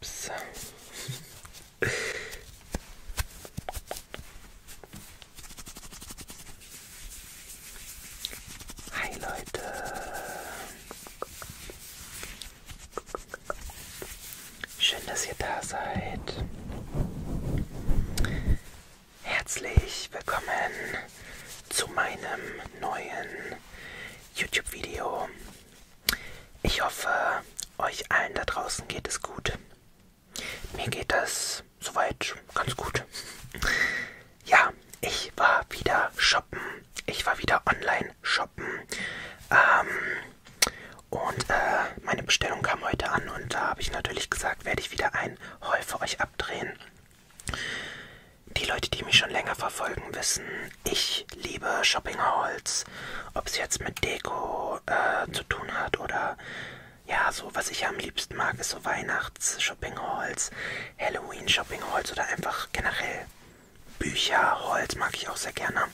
Ups. Hi Leute. Schön, dass ihr da seid. Herzlich willkommen zu meinem neuen YouTube-Video. Ich hoffe, euch allen da draußen geht es gut. Mir geht das soweit ganz gut. Ja, ich war wieder shoppen. Ich war wieder online shoppen. Ähm, und äh, meine Bestellung kam heute an und da habe ich natürlich gesagt, werde ich wieder ein Heu für euch abdrehen. Die Leute, die mich schon länger verfolgen, wissen, ich liebe Shopping Halls. Ob es jetzt mit Deko äh, zu tun hat oder ja, so was ich am liebsten mag, ist so Weihnachts-Shopping Halls, Halloween-Shopping Halls oder einfach generell Bücher, Halls mag ich auch sehr gerne.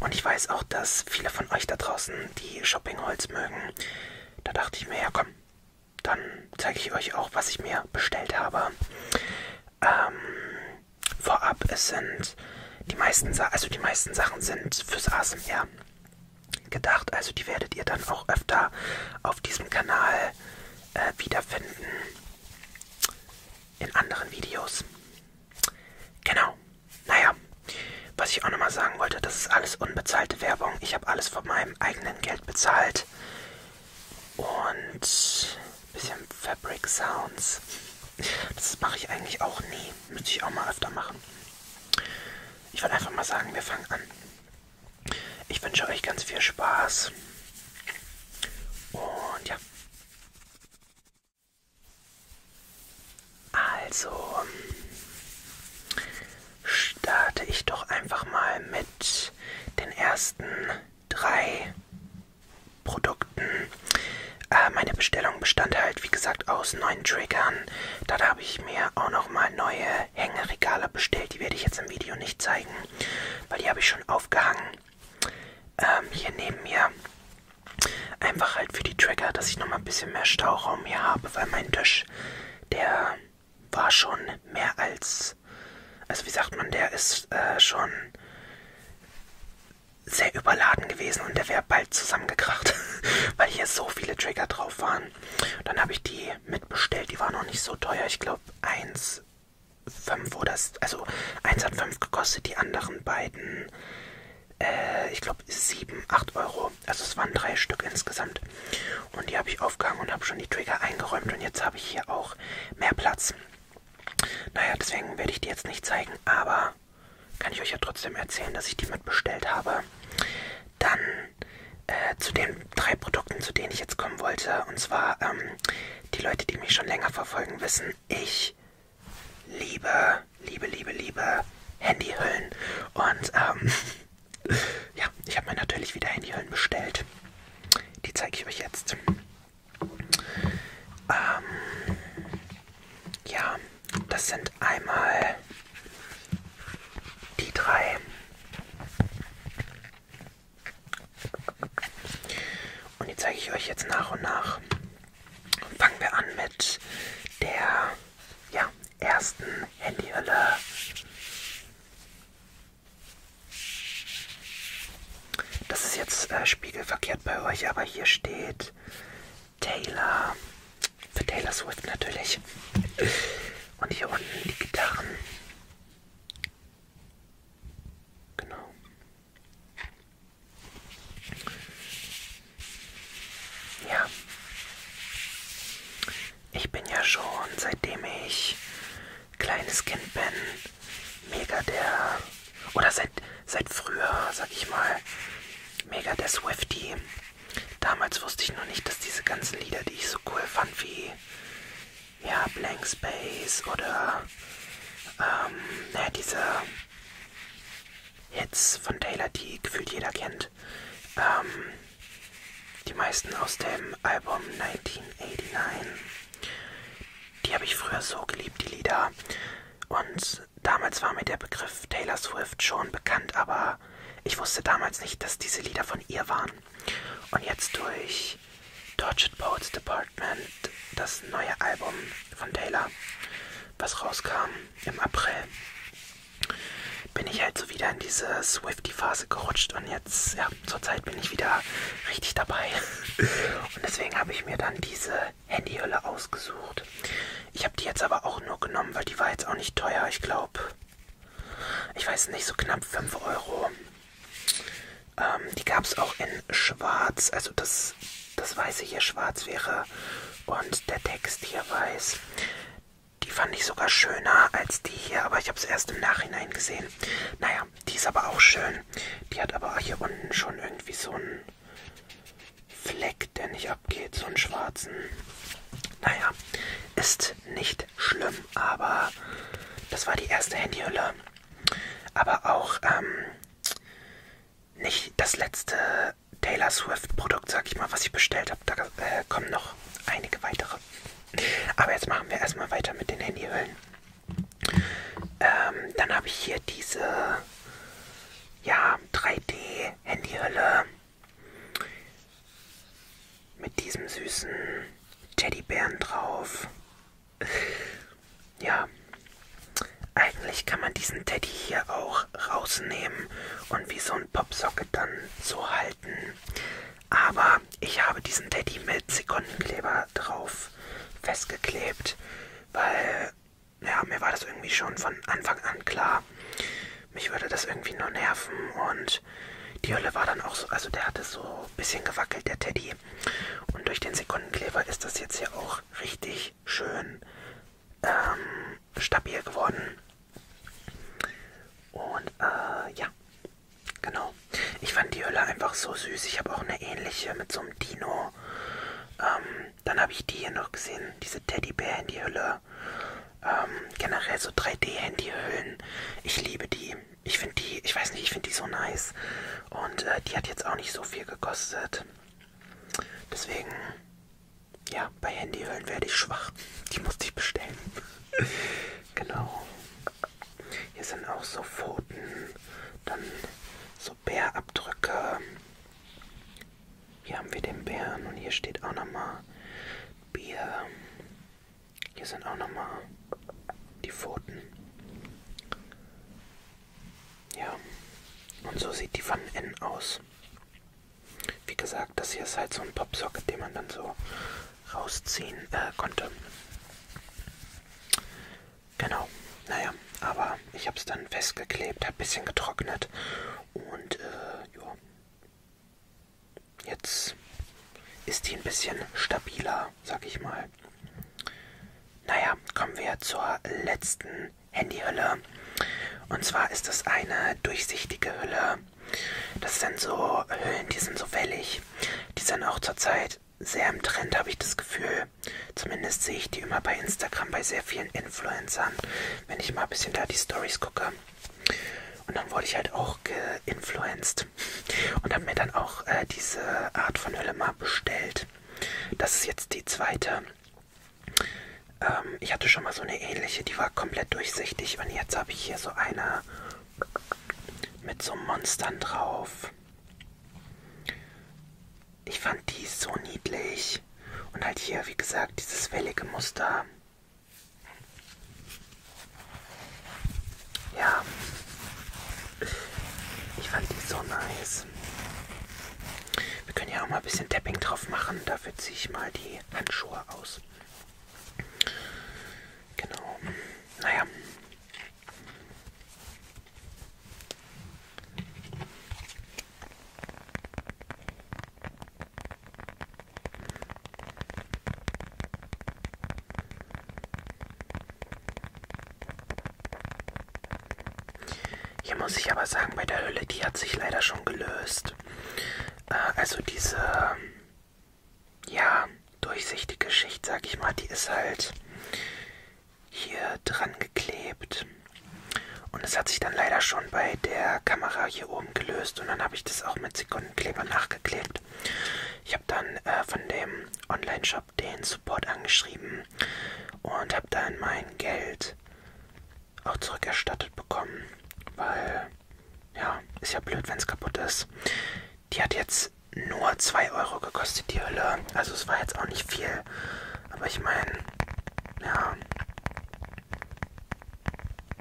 Und ich weiß auch, dass viele von euch da draußen die Shopping Halls mögen. Da dachte ich mir, ja komm, dann zeige ich euch auch, was ich mir bestellt habe. Ähm, vorab, es sind die meisten, Sa also die meisten Sachen sind fürs ASMR gedacht, also die werdet ihr dann auch öfter auf diesem Kanal äh, wiederfinden in anderen Videos. Genau. Naja, was ich auch nochmal sagen wollte, das ist alles unbezahlte Werbung. Ich habe alles von meinem eigenen Geld bezahlt und bisschen Fabric Sounds. Das mache ich eigentlich auch nie. Müsste ich auch mal öfter machen. Ich würde einfach mal sagen, wir fangen an. Ich wünsche euch ganz viel Spaß. Und ja. Also starte ich doch einfach mal mit mit den ersten drei Produkten. Äh, meine Bestellung bestand halt, wie gesagt, aus neun Triggern. Dann habe ich mir auch nochmal neue Hängeregale bestellt. Die werde ich jetzt im Video nicht zeigen, weil die habe ich schon aufgehangen. Ähm, hier neben mir. Einfach halt für die Trigger, dass ich nochmal ein bisschen mehr Stauraum hier habe, weil mein Tisch, der war schon mehr als ist, also wie sagt man, der ist äh, schon sehr überladen gewesen und der wäre bald zusammengekracht, weil hier so viele Trigger drauf waren. Dann habe ich die mitbestellt, die war noch nicht so teuer, ich glaube 1,5 oder, also 1 hat 5 gekostet, die anderen beiden, äh, ich glaube 7, 8 Euro, also es waren drei Stück insgesamt. Und die habe ich aufgehangen und habe schon die Trigger eingeräumt. Und jetzt habe ich hier auch mehr Platz. Naja, deswegen werde ich die jetzt nicht zeigen, aber kann ich euch ja trotzdem erzählen, dass ich die mitbestellt habe. Dann äh, zu den drei Produkten, zu denen ich jetzt kommen wollte. Und zwar, ähm, die Leute, die mich schon länger verfolgen, wissen, ich liebe, liebe, liebe, liebe Handyhüllen. Und ähm, Ja, ich habe mir natürlich wieder Handyhüllen bestellt. Die zeige ich euch jetzt. Ähm, ja, das sind einmal die drei. Und die zeige ich euch jetzt nach und nach. Fangen wir an mit der ja, ersten Handyhülle. Das ist jetzt äh, spiegelverkehrt bei euch, aber hier steht Taylor. Für Taylor Swift natürlich. Und hier unten die Gitarren. Genau. Ja ich bin ja schon, seitdem ich kleines Kind bin, mega der, oder seit, seit früher, sag ich mal, mega der Swifty. Damals wusste ich noch nicht, dass diese ganzen Lieder, die ich so cool fand, wie ja, Blank Space oder ähm, naja, diese Hits von Taylor, die gefühlt jeder kennt, ähm, die meisten aus dem Album 1989. Die habe ich früher so geliebt, die Lieder. Und damals war mir der Begriff Taylor Swift schon bekannt, aber ich wusste damals nicht, dass diese Lieder von ihr waren. Und jetzt durch Tortured Poets Department, das neue Album von Taylor, was rauskam im April, bin ich halt so wieder in diese Swifty-Phase gerutscht und jetzt, ja, zurzeit bin ich wieder richtig dabei. Und deswegen habe ich mir dann diese Handyhülle ausgesucht. Ich habe die jetzt aber auch nur genommen, weil die war jetzt auch nicht teuer. Ich glaube, ich weiß nicht, so knapp 5 Euro. Ähm, die gab es auch in schwarz, also das, das weiße hier schwarz wäre und der Text hier weiß. Die fand ich sogar schöner als die hier, aber ich habe es erst im Nachhinein gesehen. Naja, die ist aber auch schön. Die hat aber hier unten schon irgendwie so einen Fleck, der nicht abgeht, so einen schwarzen. Naja, ist nicht schlimm, aber das war die erste Handyhülle. Aber auch ähm, nicht das letzte Taylor Swift Produkt, sag ich mal, was ich bestellt habe. Da äh, kommen noch einige weitere. Aber jetzt machen wir erstmal weiter mit den Handyhüllen. Ähm, dann habe ich hier diese ja, 3D-Handyhülle mit diesem süßen Teddybären drauf. Ja, eigentlich kann man diesen Teddy hier auch rausnehmen und wie so ein Popsocket dann so halten. Aber ich habe diesen Teddy mit Sekundenkleber drauf festgeklebt, weil ja, mir war das irgendwie schon von Anfang an klar. Mich würde das irgendwie nur nerven und die Hölle war dann auch so, also der hatte so ein bisschen gewackelt, der Teddy. Und durch den Sekundenkleber ist das jetzt hier auch richtig schön ähm, stabil geworden. Und äh, ja, Genau. Ich fand die Hülle einfach so süß. Ich habe auch eine ähnliche mit so einem Dino. Ähm, dann habe ich die hier noch gesehen, diese Teddybär-Handyhülle. Ähm, generell so 3D-Handyhüllen. Ich liebe die. Ich finde die, ich weiß nicht, ich finde die so nice. Und äh, die hat jetzt auch nicht so viel gekostet. Deswegen, ja, bei Handyhüllen werde ich schwach. Die musste ich bestellen. genau. Hier sind auch so Pfoten, dann so Bärabdrücke. Hier haben wir den Bären und hier steht auch nochmal Bier. Hier sind auch nochmal die Pfoten. Ja, und so sieht die von innen aus. Wie gesagt, das hier ist halt so ein Popsocket, den man dann so rausziehen äh, konnte. Genau, naja, aber ich habe es dann festgeklebt, hat ein bisschen getrocknet und äh, ja, jetzt ist die ein bisschen stabiler, sag ich mal. Naja, kommen wir zur letzten Handyhülle. Und zwar ist es eine durchsichtige Hülle das sind so Hüllen, die sind so wellig. Die sind auch zurzeit sehr im Trend, habe ich das Gefühl. Zumindest sehe ich die immer bei Instagram bei sehr vielen Influencern, wenn ich mal ein bisschen da die Stories gucke. Und dann wurde ich halt auch geinfluenced und habe mir dann auch äh, diese Art von Hülle mal bestellt. Das ist jetzt die zweite. Ähm, ich hatte schon mal so eine ähnliche, die war komplett durchsichtig und jetzt habe ich hier so eine mit so Monstern drauf. Ich fand die so niedlich. Und halt hier, wie gesagt, dieses wellige Muster. Ja. Ich fand die so nice. Wir können ja auch mal ein bisschen Tapping drauf machen. Dafür ziehe ich mal die Handschuhe aus. Genau. Naja. Hier muss ich aber sagen, bei der Hülle, die hat sich leider schon gelöst. Äh, also diese ja, durchsichtige Schicht, sag ich mal, die ist halt hier dran geklebt. Und es hat sich dann leider schon bei der Kamera hier oben gelöst und dann habe ich das auch mit Sekundenkleber nachgeklebt. Ich habe dann äh, von dem Online-Shop den Support angeschrieben und habe dann mein Geld auch zurückerstattet bekommen, weil ja, ist ja blöd, wenn es kaputt ist. Die hat jetzt nur 2 Euro gekostet, die Hülle. Also es war jetzt auch nicht viel. Aber ich meine, ja.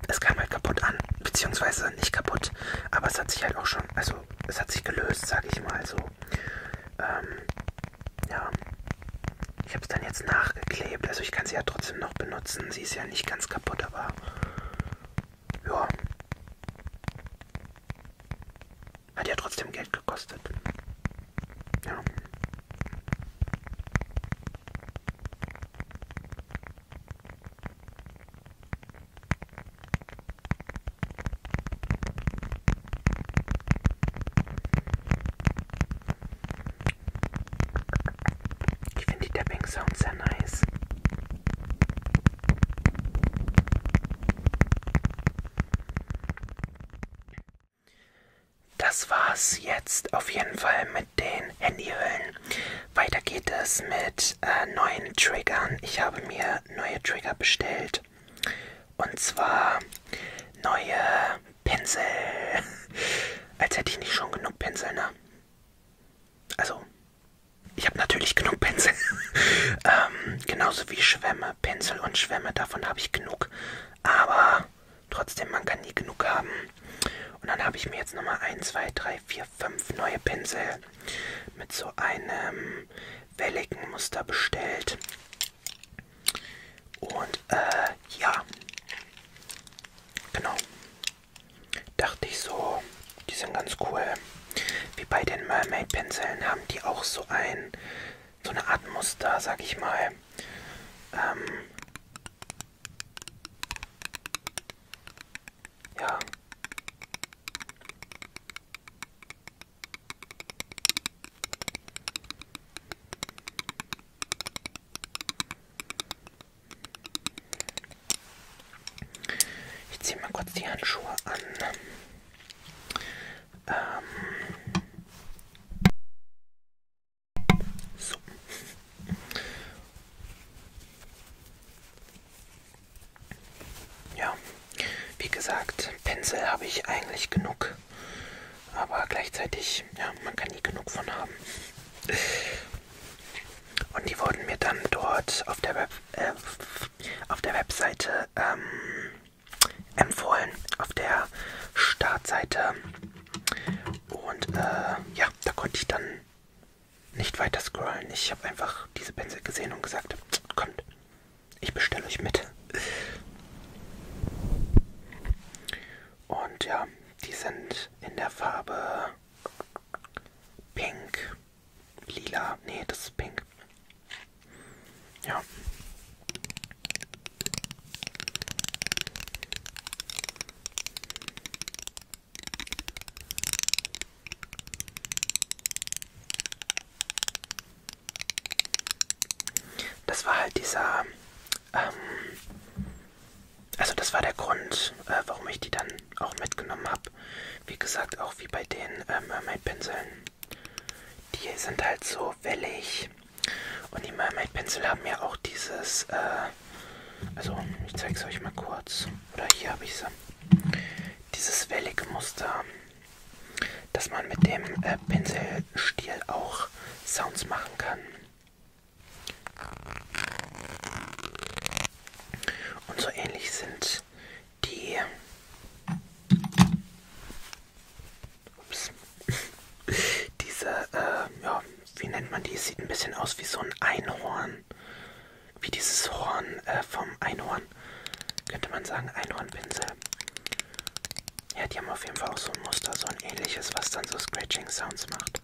Es kam halt kaputt an. Beziehungsweise nicht kaputt. Aber es hat sich halt auch schon, also es hat sich gelöst, sag ich mal so. Ähm, ja. Ich habe es dann jetzt nachgeklebt. Also ich kann sie ja trotzdem noch benutzen. Sie ist ja nicht ganz kaputt, aber ja. Hat ja trotzdem Geld gekostet. Ja. Ich finde die Tapping Sounds sehr nice. Das war's jetzt auf jeden Fall mit den Handyhüllen. Weiter geht es mit äh, neuen Triggern. Ich habe mir neue Trigger bestellt. Und zwar neue Pinsel. Als hätte ich nicht schon genug Pinsel, ne? Also, ich habe natürlich genug Pinsel. ähm, genauso wie Schwämme. Pinsel und Schwämme, davon habe ich genug. Aber trotzdem, man kann nie genug haben. Und dann habe ich mir jetzt nochmal 1, 2, 3, 4, 5 neue Pinsel mit so einem welligen Muster bestellt. Und äh, ja. Genau dachte ich so, die sind ganz cool. Wie bei den Mermaid Pinseln haben die auch so ein, so eine Art Muster, sag ich mal. Ähm, ja. Ich ziehe mal kurz die Handschuhe an. Ähm so. Ja, wie gesagt, Pinsel habe ich eigentlich genug. Aber gleichzeitig, ja, man kann nie genug von haben. Und die wurden mir dann dort auf der, Web, äh, auf der Webseite ähm, empfohlen, auf der Startseite. Und äh, ja, da konnte ich dann nicht weiter scrollen. Ich habe einfach diese Pinsel gesehen und gesagt, kommt, ich bestelle euch mit. Und ja, die sind in der Farbe Pink. Lila. Nee, das ist pink. Ja. Das war halt dieser, ähm, also das war der Grund, äh, warum ich die dann auch mitgenommen habe. Wie gesagt, auch wie bei den ähm, Mermaid-Pinseln. Die sind halt so wellig. Und die Mermaid-Pinsel haben ja auch dieses, äh, also ich zeige es euch mal kurz. Oder hier habe ich sie. Dieses wellige Muster, dass man mit dem äh, Pinselstiel auch Sounds machen kann. Und so ähnlich sind die, ups, diese, äh, ja, wie nennt man die? Sieht ein bisschen aus wie so ein Einhorn, wie dieses Horn äh, vom Einhorn, könnte man sagen, Einhornpinsel. Ja, die haben auf jeden Fall auch so ein Muster, so ein ähnliches, was dann so Scratching Sounds macht.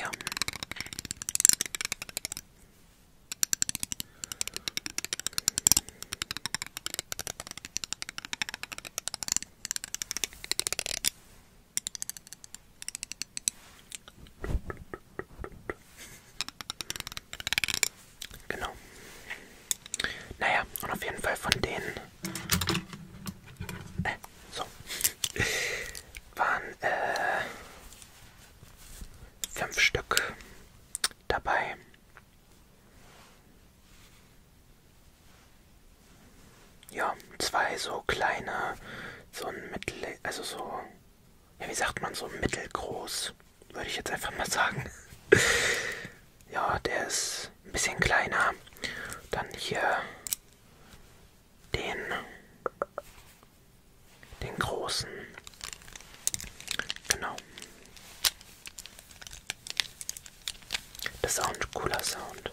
Ja. Genau. Naja, und auf jeden Fall von denen äh, so. Waren äh, fünf Stück dabei. Ja, zwei so kleine, so ein mittel, also so, ja, wie sagt man, so mittelgroß, würde ich jetzt einfach mal sagen. Ja, der ist ein bisschen kleiner. Dann hier den, den großen. Genau. Das ist auch ein cooler Sound.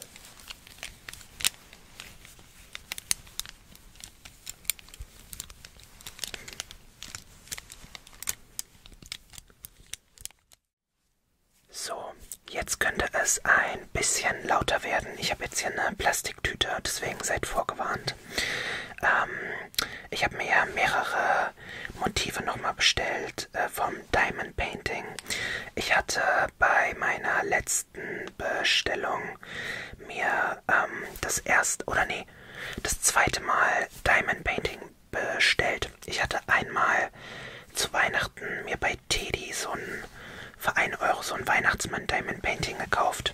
So, jetzt könnte es ein bisschen lauter werden. Ich habe jetzt hier eine Plastiktüte, deswegen seid vorgewarnt. Ähm, ich habe mir mehrere Motive nochmal bestellt äh, vom Diamond Painting. Ich hatte bei meiner letzten Bestellung mir ähm, das erste, oder nee, das zweite Mal Diamond Painting bestellt. Ich hatte einmal zu Weihnachten mir bei Teddy so ein für 1 Euro so ein Weihnachtsmann Diamond Painting gekauft.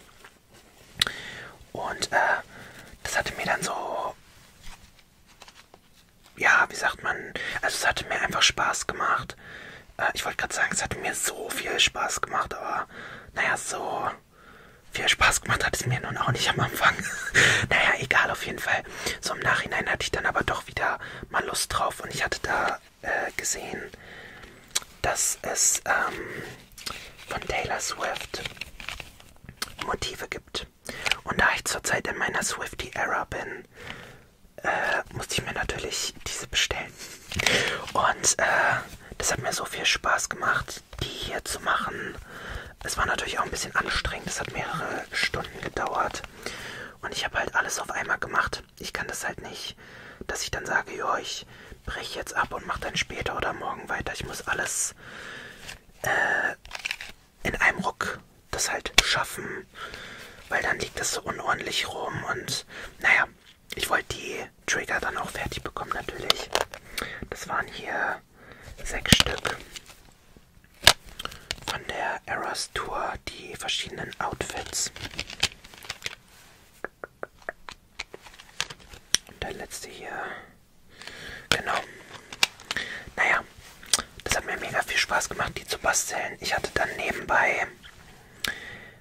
Und äh, das hatte mir dann so, ja, wie sagt man, also es hatte mir einfach Spaß gemacht. Äh, ich wollte gerade sagen, es hatte mir so viel Spaß gemacht, aber naja, so viel Spaß gemacht hat es mir nun auch nicht am Anfang. naja, egal, auf jeden Fall weil so im Nachhinein hatte ich dann aber doch wieder mal Lust drauf und ich hatte da äh, gesehen, dass es ähm, von Taylor Swift Motive gibt. Und da ich zurzeit in meiner Swifty Era bin, äh, musste ich mir natürlich diese bestellen. Und äh, das hat mir so viel Spaß gemacht, die hier zu machen. Es war natürlich auch ein bisschen anstrengend, es hat mehrere Stunden gedauert. Und ich habe halt alles auf einmal gemacht. Ich kann das halt nicht, dass ich dann sage, ja, ich breche jetzt ab und mache dann später oder morgen weiter. Ich muss alles äh, in einem Ruck das halt schaffen, weil dann liegt das so unordentlich rum. Und naja, ich wollte die Trigger dann auch fertig bekommen natürlich. Das waren hier sechs Stück von der Eras Tour die verschiedenen Outfits. Und der letzte hier. Genau. Naja, das hat mir mega viel Spaß gemacht, die zu basteln. Ich hatte dann nebenbei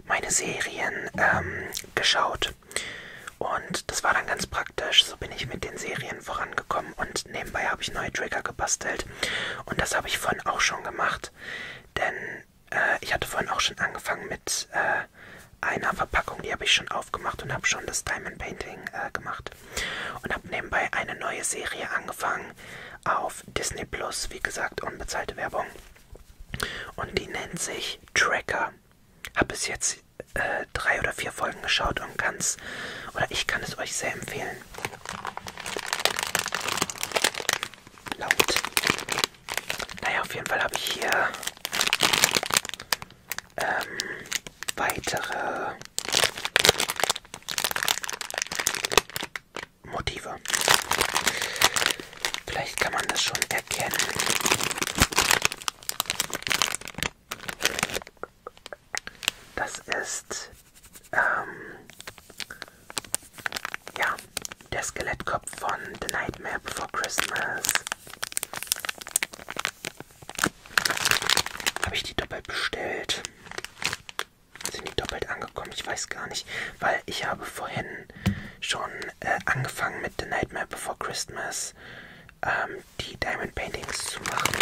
meine Serien ähm, geschaut. Und das war dann ganz praktisch. So bin ich mit den Serien bisschen vorangekommen und nebenbei habe ich neue Trigger gebastelt. Und das habe ich vorhin auch schon gemacht, denn äh, ich hatte vorhin auch schon angefangen mit äh, einer Verpackung, die habe ich schon aufgemacht und habe schon das Diamond Painting äh, gemacht. Und habe nebenbei eine neue Serie angefangen auf Disney Plus, wie gesagt, unbezahlte Werbung. Und die nennt sich Tracker. Habe bis jetzt äh, drei oder vier Folgen geschaut und ganz, oder ich kann es euch sehr empfehlen. Laut. Naja, auf jeden Fall habe ich hier ähm, weitere Motive. Vielleicht kann man das schon erkennen. Das ist ähm, ja, der Skelettkopf von The Nightmare Before Christmas. Habe ich die doppelt bestellt? Sind die doppelt angekommen? Ich weiß gar nicht, weil ich habe vorhin schon äh, angefangen mit The Nightmare Before Christmas ähm, die Diamond Paintings zu machen.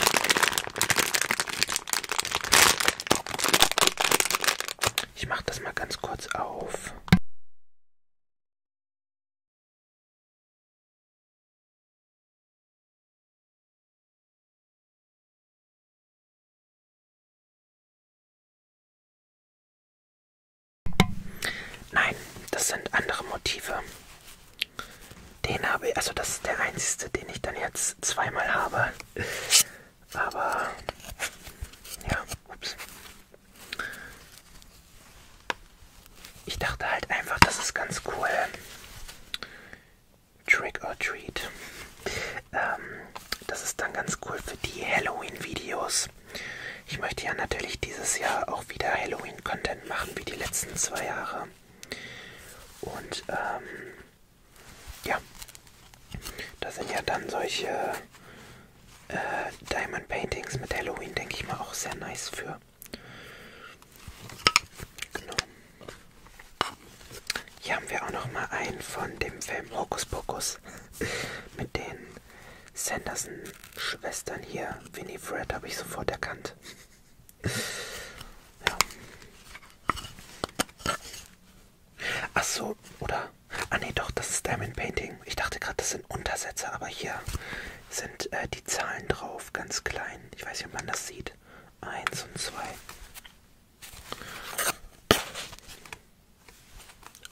Ich mache das mal ganz kurz auf. Nein, das sind andere Motive. Den habe ich, also das ist der einzige, den ich dann jetzt zweimal habe. Aber ja, ups. Ich dachte halt einfach, das ist ganz cool. Trick or Treat. Ähm, das ist dann ganz cool für die Halloween-Videos. Ich möchte ja natürlich dieses Jahr auch wieder Halloween-Content machen, wie die letzten zwei Jahre. Und ähm, ja, das sind ja dann solche äh, Diamond Paintings mit Halloween, denke ich mal, auch sehr nice für. Genau. Hier haben wir auch noch mal einen von dem Film Hokus Pokus mit den Sanderson-Schwestern hier. Winifred habe ich sofort erkannt. Ja. Ach so, oder? Ah nee, doch, das ist Diamond Painting. Ich dachte gerade, das sind Untersätze, aber hier sind äh, die Zahlen drauf, ganz klein. Ich weiß nicht, ob man das sieht. Eins und zwei.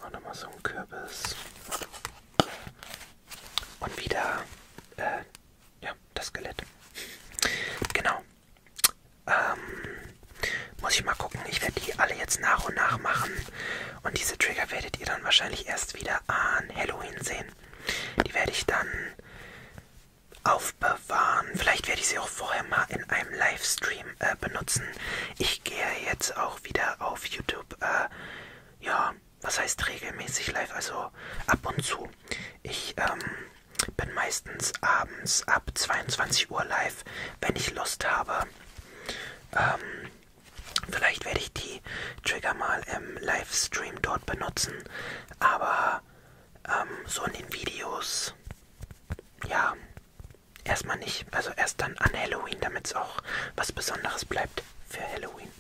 Auch nochmal so ein Kürbis. Und wieder, äh, ja, das Skelett. Genau. Ähm, muss ich mal gucken. Ich werde die alle jetzt nach und nach machen. Und diese Trigger werdet ihr dann wahrscheinlich erst wieder an Halloween sehen. Die werde ich dann aufbewahren. Vielleicht werde ich sie auch vorher mal in einem Livestream äh, benutzen. Ich gehe jetzt auch wieder auf YouTube. Äh, ja, was heißt regelmäßig live? Also ab und zu. Ich ähm, bin meistens abends ab 22 Uhr live, wenn ich Lust habe. Ähm, vielleicht werde ich die Trigger mal im Livestream dort benutzen, aber ähm, so in den Videos, ja, erstmal nicht. Also erst dann an Halloween, damit es auch was Besonderes bleibt für Halloween.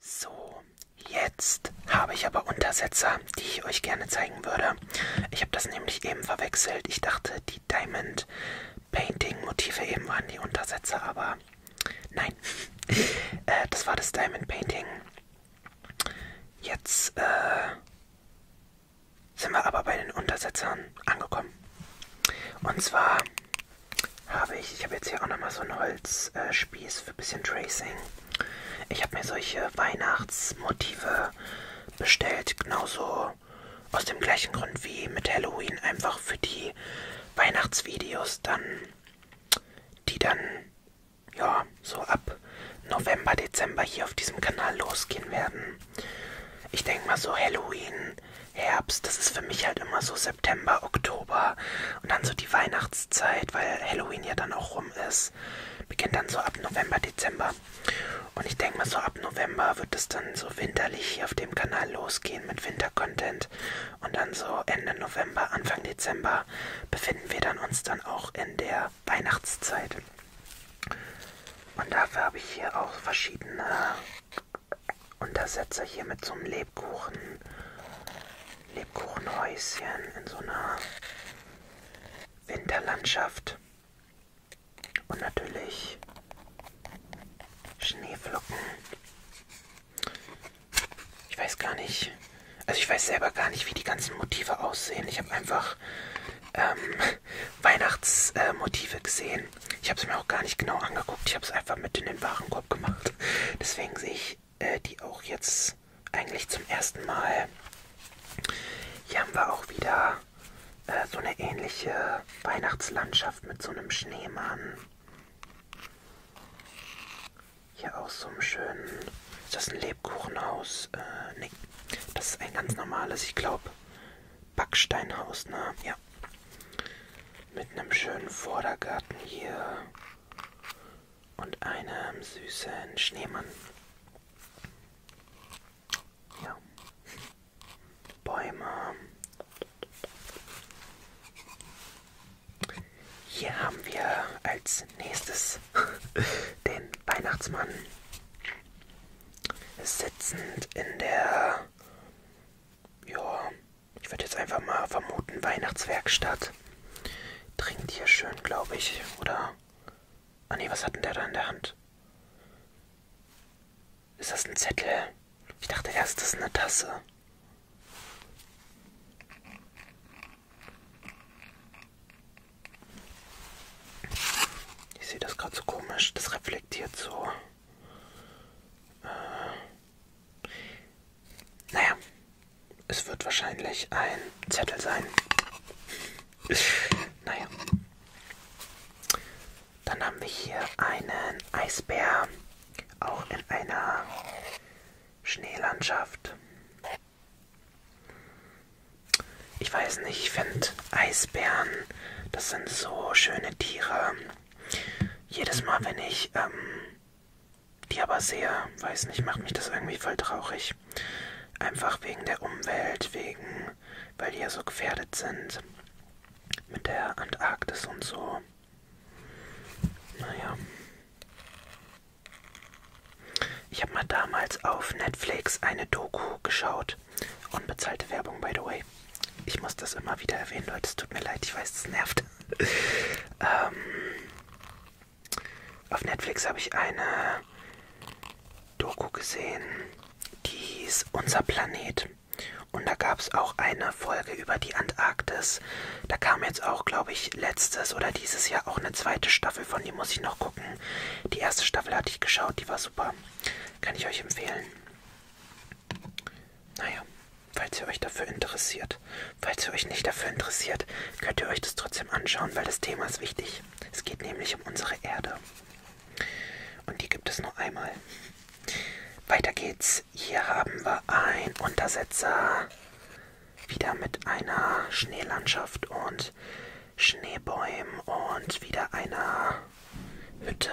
So, jetzt habe ich aber Untersetzer, die ich euch gerne zeigen würde. Ich habe das nämlich eben verwechselt. Ich dachte, die Diamond Painting Motive eben waren die Untersetzer, aber nein. äh, das war das Diamond Painting. Jetzt äh, sind wir aber bei den Untersetzern angekommen. Und zwar habe ich, ich habe jetzt hier auch nochmal so einen Holzspieß äh, für ein bisschen Tracing. Ich habe mir solche Weihnachtsmotive bestellt, genauso aus dem gleichen Grund wie mit Halloween, einfach für die Weihnachtsvideos dann, die dann, ja, so ab November, Dezember hier auf diesem Kanal losgehen werden. Ich denke mal so Halloween, Herbst, das ist für mich halt immer so September, Oktober, und dann so die Weihnachtszeit, weil Halloween ja dann auch rum ist, beginnt dann so ab November, Dezember. Und ich denke mal, so ab November wird es dann so winterlich hier auf dem Kanal losgehen mit Wintercontent. Und dann so Ende November, Anfang Dezember befinden wir dann uns dann auch in der Weihnachtszeit. Und dafür habe ich hier auch verschiedene Untersetzer hier mit so einem Lebkuchen Lebkuchenhäuschen in so einer Winterlandschaft. Und natürlich Schneeflocken. Ich weiß gar nicht. Also ich weiß selber gar nicht, wie die ganzen Motive aussehen. Ich habe einfach ähm, Weihnachtsmotive äh, gesehen. Ich habe es mir auch gar nicht genau angeguckt. Ich habe es einfach mit in den Warenkorb gemacht. Deswegen sehe ich äh, die auch jetzt eigentlich zum ersten Mal. Hier haben wir auch wieder äh, so eine ähnliche Weihnachtslandschaft mit so einem Schneemann. Hier auch so einem schönen. Ist das ein Lebkuchenhaus? Äh, nee. Das ist ein ganz normales, ich glaube, Backsteinhaus, ne? Ja. Mit einem schönen Vordergarten hier und einem süßen Schneemann. Ja. Bäume. Hier haben wir als nächstes den Weihnachtsmann sitzend in der ja, ich würde jetzt einfach mal vermuten, Weihnachtswerkstatt. Trinkt hier schön, glaube ich, oder? Ah nee, was hat denn der da in der Hand? Ist das ein Zettel? Ich dachte erst, das ist eine Tasse. Ich sehe das gerade so komisch. Das reflektiert so. Äh, naja, es wird wahrscheinlich ein Zettel sein. naja. Dann haben wir hier einen Eisbär, auch in einer Schneelandschaft. Ich weiß nicht, ich finde Eisbären, das sind so schöne Tiere. Jedes Mal, wenn ich ähm, die aber sehr, weiß nicht, macht mich das irgendwie voll traurig. Einfach wegen der Umwelt, wegen, weil die ja so gefährdet sind. Mit der Antarktis und so. Naja. Ich habe mal damals auf Netflix eine Doku geschaut. Unbezahlte Werbung, by the way. Ich muss das immer wieder erwähnen, Leute. Es tut mir leid, ich weiß, es nervt. ähm, auf Netflix habe ich eine Doku gesehen, die hieß Unser Planet. Und da gab es auch eine Folge über die Antarktis. Da kam jetzt auch, glaube ich, letztes oder dieses Jahr auch eine zweite Staffel von. Die muss ich noch gucken. Die erste Staffel hatte ich geschaut, die war super. Kann ich euch empfehlen. Naja falls ihr euch dafür interessiert. Falls ihr euch nicht dafür interessiert, könnt ihr euch das trotzdem anschauen, weil das Thema ist wichtig. Es geht nämlich um unsere Erde. Und die gibt es nur einmal. Weiter geht's. Hier haben wir einen Untersetzer. Wieder mit einer Schneelandschaft und Schneebäumen und wieder einer Hütte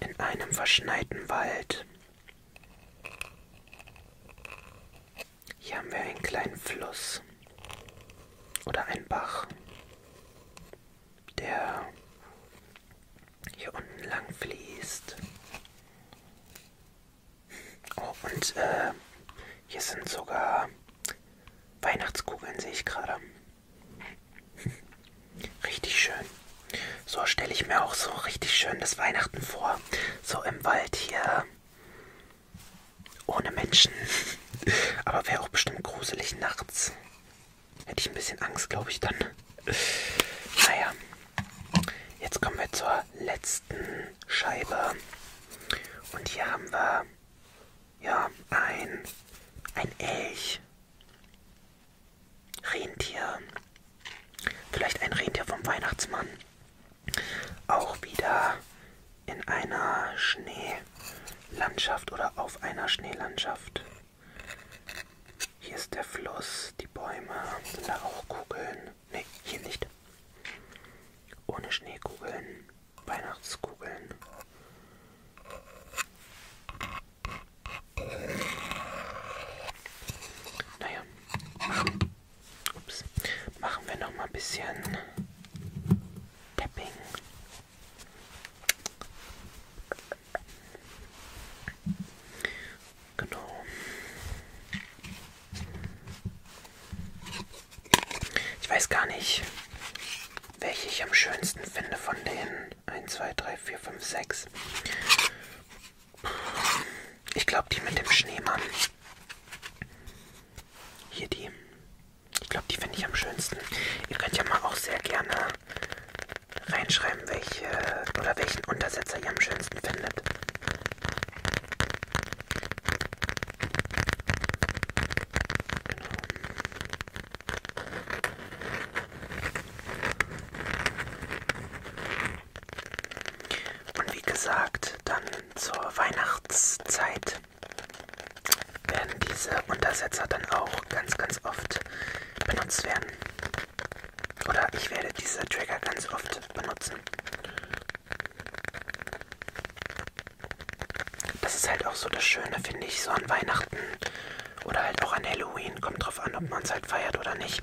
in einem verschneiten Wald. Hier haben wir einen kleinen Fluss oder einen Bach, der hier unten lang fließt. Oh, und äh, hier sind sogar Weihnachtskugeln, sehe ich gerade. Richtig schön. So stelle ich mir auch so richtig schön das Weihnachten vor. So im Wald hier. Ohne Menschen. Aber wäre auch bestimmt gruselig nachts. Hätte ich ein bisschen Angst, glaube ich, dann. Naja. Jetzt kommen wir zur letzten Scheibe. Und hier haben wir ja ein, ein Elch. Rentier. Vielleicht ein Rentier vom Weihnachtsmann. Auch wieder in einer Schneelandschaft oder auf einer Schneelandschaft. Hier ist der Fluss, die Bäume, sind da auch Kugeln. Ne, hier nicht. Ohne Schneekugeln, Weihnachtskugeln. Naja, machen, ups, machen wir noch mal ein bisschen Tapping. Genau. Ich weiß gar nicht, welche ich am schönsten finde von denen. 1, 2, 3, 4, 5, 6. Ich glaube, die mit dem Schneemann. Hier die. Ich glaube, die finde ich am schönsten. Ihr könnt ja mal auch sehr gerne reinschreiben, welche oder welchen Untersetzer ihr am schönsten findet. Genau. Und wie gesagt, dann zur Weihnachtszeit werden diese Untersetzer dann auch ganz, ganz oft benutzt werden. Oder ich werde diese Trigger ganz oft benutzen. Das ist halt auch so das Schöne, finde ich, so an Weihnachten oder halt auch an Halloween. Kommt drauf an, ob man es halt feiert oder nicht.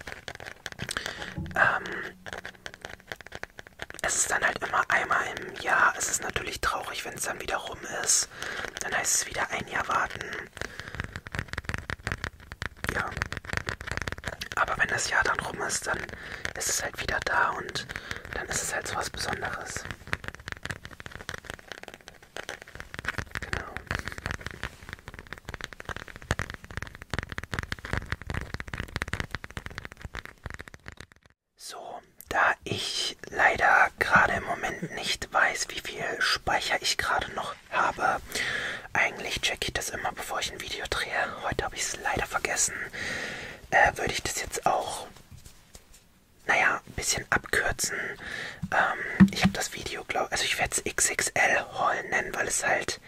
Ähm, es ist dann halt immer einmal im Jahr. Es ist natürlich traurig, wenn es dann wieder rum ist. Dann heißt es wieder ein Jahr warten. Ja. Aber wenn das Jahr dann rum ist, dann ist es halt wieder da und dann ist es halt so was Besonderes. Genau. So, da ich leider gerade im Moment nicht weiß, wie viel Speicher ich gerade noch habe, eigentlich checke ich das immer, bevor ich ein Video drehe. Heute habe ich es leider vergessen. Äh, würde ich das jetzt auch, naja, ein bisschen abkürzen. Ähm, ich habe das Video, glaube also ich werde es XXL Haul nennen, weil es halt Paket.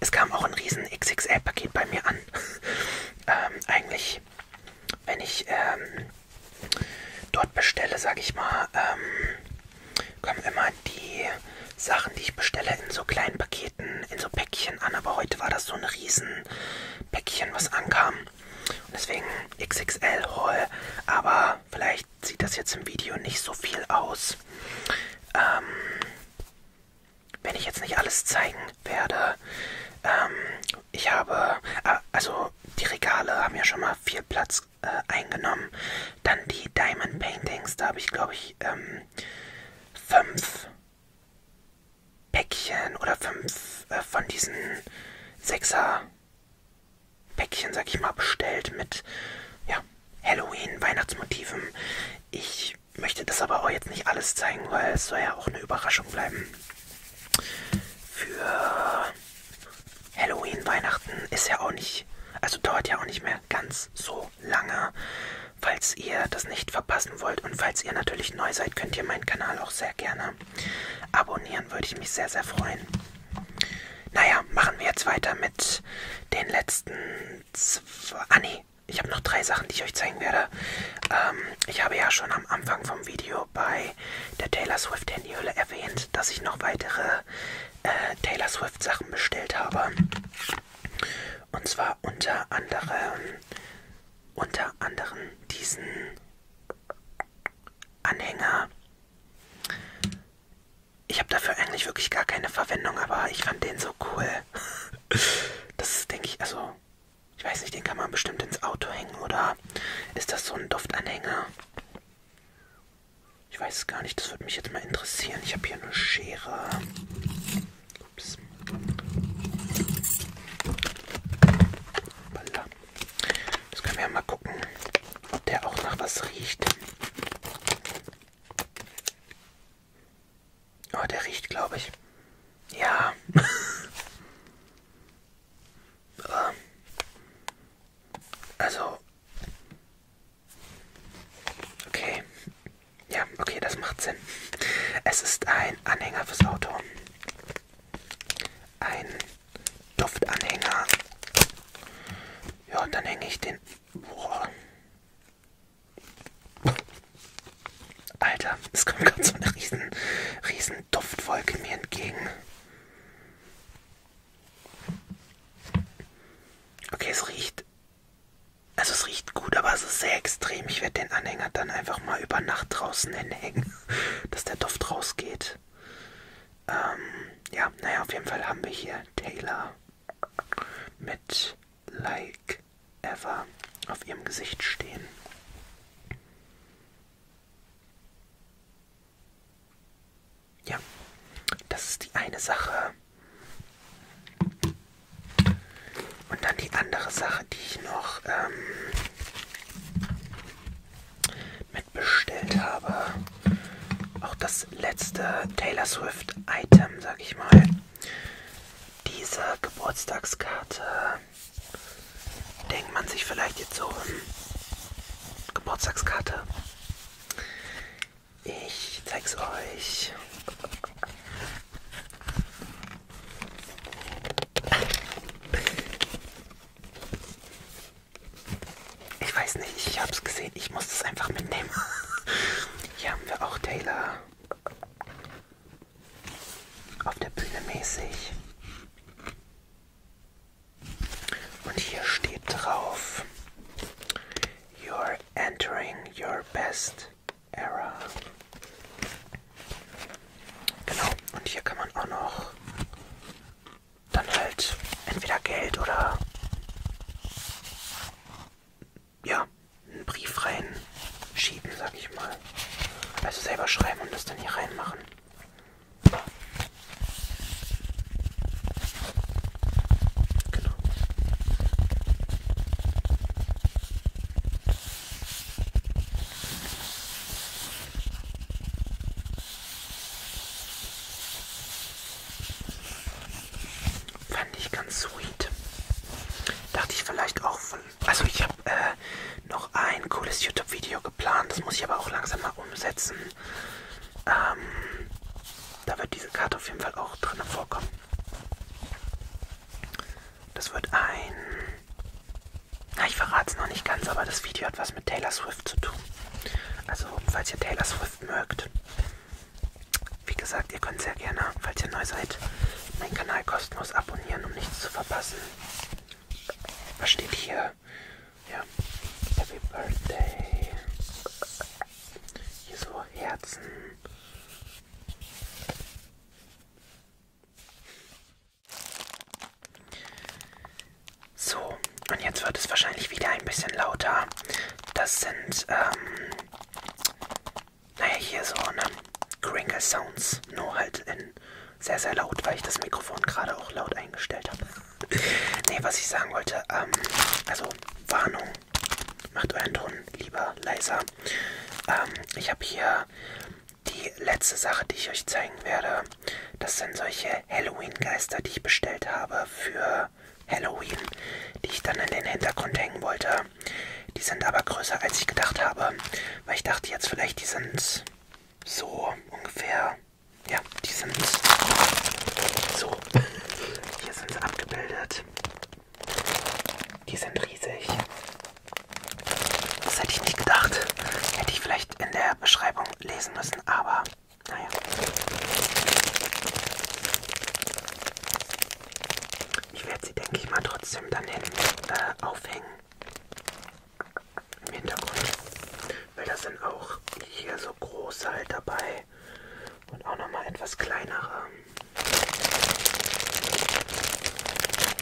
Es kam auch ein riesen XXL-Paket bei mir an. ähm, eigentlich, wenn ich ähm, dort bestelle, sage ich mal, ähm, kommen immer die Sachen, die ich bestelle, in so kleinen Paketen, in so Päckchen an. Aber heute war das so ein riesen Päckchen, was ankam. Und deswegen XXL-Haul. Aber Vielleicht sieht das jetzt im Video nicht so viel aus. Ähm, wenn ich jetzt nicht alles zeigen werde. Ähm, ich habe, äh, also die Regale haben ja schon mal viel Platz äh, eingenommen. Dann die Diamond Paintings, da habe ich glaube ich ähm, fünf Päckchen oder fünf äh, von diesen Sechser Päckchen, sag ich mal, bestellt mit ja, Halloween, Weihnachtsmotiven. Ich möchte das aber auch jetzt nicht alles zeigen, weil es soll ja auch eine Überraschung bleiben. Für Halloween, Weihnachten ist ja auch nicht, also dauert ja auch nicht mehr ganz so lange. Falls ihr das nicht verpassen wollt und falls ihr natürlich neu seid, könnt ihr meinen Kanal auch sehr gerne abonnieren, würde ich mich sehr, sehr freuen. Naja, machen wir jetzt weiter mit den letzten zwei. Ah, nee, ich habe noch drei Sachen, die ich euch zeigen werde. Ähm, ich habe ja schon am Anfang vom Video bei der Taylor Swift Handyhülle erwähnt, dass ich noch weitere äh, Taylor Swift Sachen bestellt habe. Und zwar unter anderem, unter anderem diesen Anhänger. Ich habe dafür eigentlich wirklich gar keine Verwendung, aber ich fand den so cool. Das ist, denke ich, also, ich weiß nicht, den kann man bestimmt ins Auto hängen, oder ist das so ein Duftanhänger? Ich weiß es gar nicht, das würde mich jetzt mal interessieren. Ich habe hier eine Schere. Ups. Das können wir ja mal gucken, ob der auch nach was riecht. Oh, der riecht, glaube ich. Ja. Äh. also. Okay. Ja, okay, das macht Sinn. Es ist ein Anhänger fürs Auto. Ein Duftanhänger. Ja, dann hänge ich den Alter, es kommt gerade so eine riesen, riesen Duftwolke mir entgegen. Okay, es riecht. Also es riecht gut, aber es ist sehr extrem. Ich werde den Anhänger dann einfach mal über Nacht draußen hinhängen, dass der Duft rausgeht. Ähm, ja, naja, auf jeden Fall haben wir hier Taylor mit Like Ever auf ihrem Gesicht stehen. Ja, das ist die eine Sache. Und dann die andere Sache, die ich noch ähm, mitbestellt habe auch das letzte Taylor Swift-Item, sag ich mal. Diese Geburtstagskarte denkt man sich vielleicht jetzt so hm, Geburtstagskarte. Ich zeig's euch. Ich weiß nicht, ich hab's gesehen. Ich muss das einfach mitnehmen. Hier haben wir auch Taylor. Auf der Bühne mäßig. Und hier steht drauf: You're entering your best era. Genau, und hier kann man auch noch dann halt entweder Geld oder ja, einen Brief reinschieben, sag ich mal. Also selber schreiben und das dann hier reinmachen. Genau. Fand ich ganz sweet. Dachte ich vielleicht auch von. Also ich habe äh, noch ein cooles YouTube-Video geplant. Das muss ich aber auch langsam mal umsetzen. Ähm, da wird diese Karte auf jeden Fall auch drin vorkommen. Das wird ein. Na, ich verrate es noch nicht ganz, aber das Video hat was mit Taylor Swift zu tun. Also, falls ihr Taylor Swift mögt, wie gesagt, ihr könnt sehr gerne, falls ihr neu seid, meinen Kanal kostenlos abonnieren, um nichts zu verpassen. Was steht hier? Ja, Happy Birthday. Hier so Herzen. So, und jetzt wird es wahrscheinlich wieder ein bisschen lauter. Das sind, ähm, naja, hier so, ne? Crinkle Sounds. Nur halt in sehr, sehr laut, weil ich das Mikrofon gerade auch laut eingestellt habe. ne, was ich sagen wollte, ähm, also Warnung. Macht euren Ton lieber leiser. Ähm, ich habe hier die letzte Sache, die ich euch zeigen werde. Das sind solche Halloween-Geister, die ich bestellt habe für Halloween, die ich dann in den Hintergrund hängen wollte. Die sind aber größer, als ich gedacht habe, weil ich dachte jetzt vielleicht, die sind so ungefähr, ja, die sind so, hier sind sie abgebildet. Die sind riesig. Das hätte ich nicht gedacht. Hätte ich vielleicht in der Beschreibung lesen müssen, aber naja. Ich werde sie, denke ich mal, trotzdem dann hinten äh, aufhängen. Im Hintergrund. Weil da sind auch hier so große halt dabei. Und auch nochmal etwas kleinere.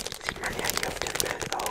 Das sieht man ja hier auf dem Bild auch.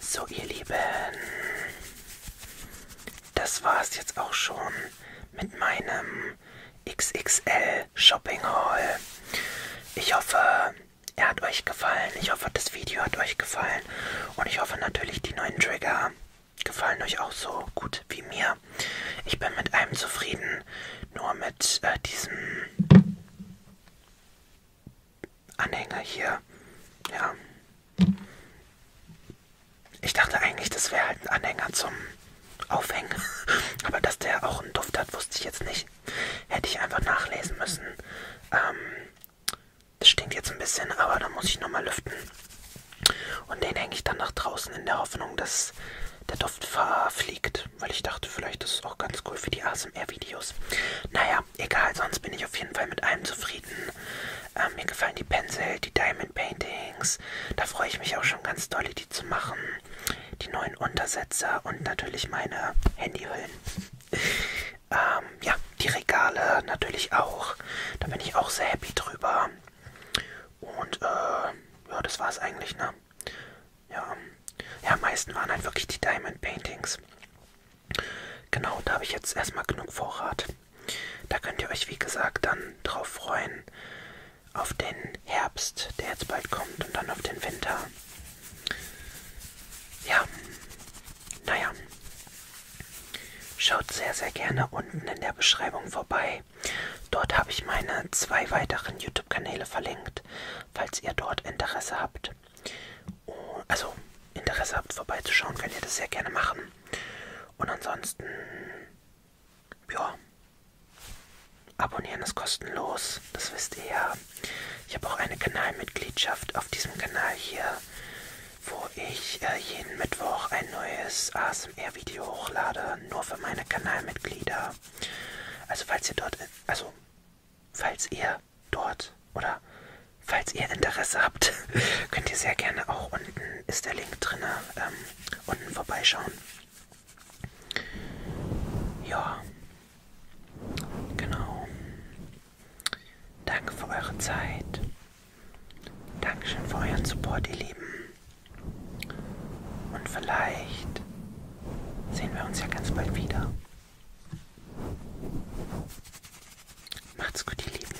So ihr Lieben, das war's jetzt auch schon mit meinem XXL Shopping Haul. Ich hoffe, er hat euch gefallen. Ich hoffe, das Video hat euch gefallen. Und ich hoffe natürlich, die neuen Trigger gefallen euch auch so gut wie mir. Ich bin mit einem zufrieden. Nur mit äh, diesem Anhänger hier. Ja. Ich dachte eigentlich, das wäre halt ein Anhänger zum Aufhängen. Aber dass der auch einen Duft hat, wusste ich jetzt nicht. Hätte ich einfach nachlesen müssen. Ähm, das stinkt jetzt ein bisschen, aber da muss ich nochmal lüften. Und den hänge ich dann nach draußen in der Hoffnung, dass der Duft verfliegt. Weil ich dachte, vielleicht ist es auch ganz cool für die ASMR-Videos. Naja, egal, sonst bin ich auf jeden Fall mit allem zufrieden. Ähm, mir gefallen die Pinsel, die Diamond Paintings. Da freue ich mich auch schon ganz doll, die zu machen die neuen Untersetzer und natürlich meine Handyhüllen. ähm, ja, die Regale natürlich auch. Da bin ich auch sehr happy drüber. Und äh, ja, das war es eigentlich, ne? Ja. ja, am meisten waren halt wirklich die Diamond Paintings. Genau, da habe ich jetzt erstmal genug Vorrat. Da könnt ihr euch, wie gesagt, dann drauf freuen. Auf den Herbst, der jetzt bald kommt, und dann auf den Winter. Ja, naja. Schaut sehr, sehr gerne unten in der Beschreibung vorbei. Dort habe ich meine zwei weiteren YouTube-Kanäle verlinkt, falls ihr dort Interesse habt. Oh, also Interesse habt, vorbeizuschauen, könnt ihr das sehr gerne machen. Und ansonsten, ja, Abonnieren ist kostenlos, das wisst ihr ja. Ich habe auch eine Kanalmitgliedschaft auf diesem Kanal hier, wo ich äh, jeden Mittwoch ein neues ASMR-Video hochlade, nur für meine Kanalmitglieder. Also falls ihr dort, also falls ihr dort oder falls ihr Interesse habt, könnt ihr sehr gerne auch unten ist der Link drin, ähm, unten vorbeischauen. Ja, genau. Danke für eure Zeit. Dankeschön für euren Support, ihr Lieben. Und vielleicht sehen wir uns ja ganz bald wieder. Macht's gut, ihr Lieben.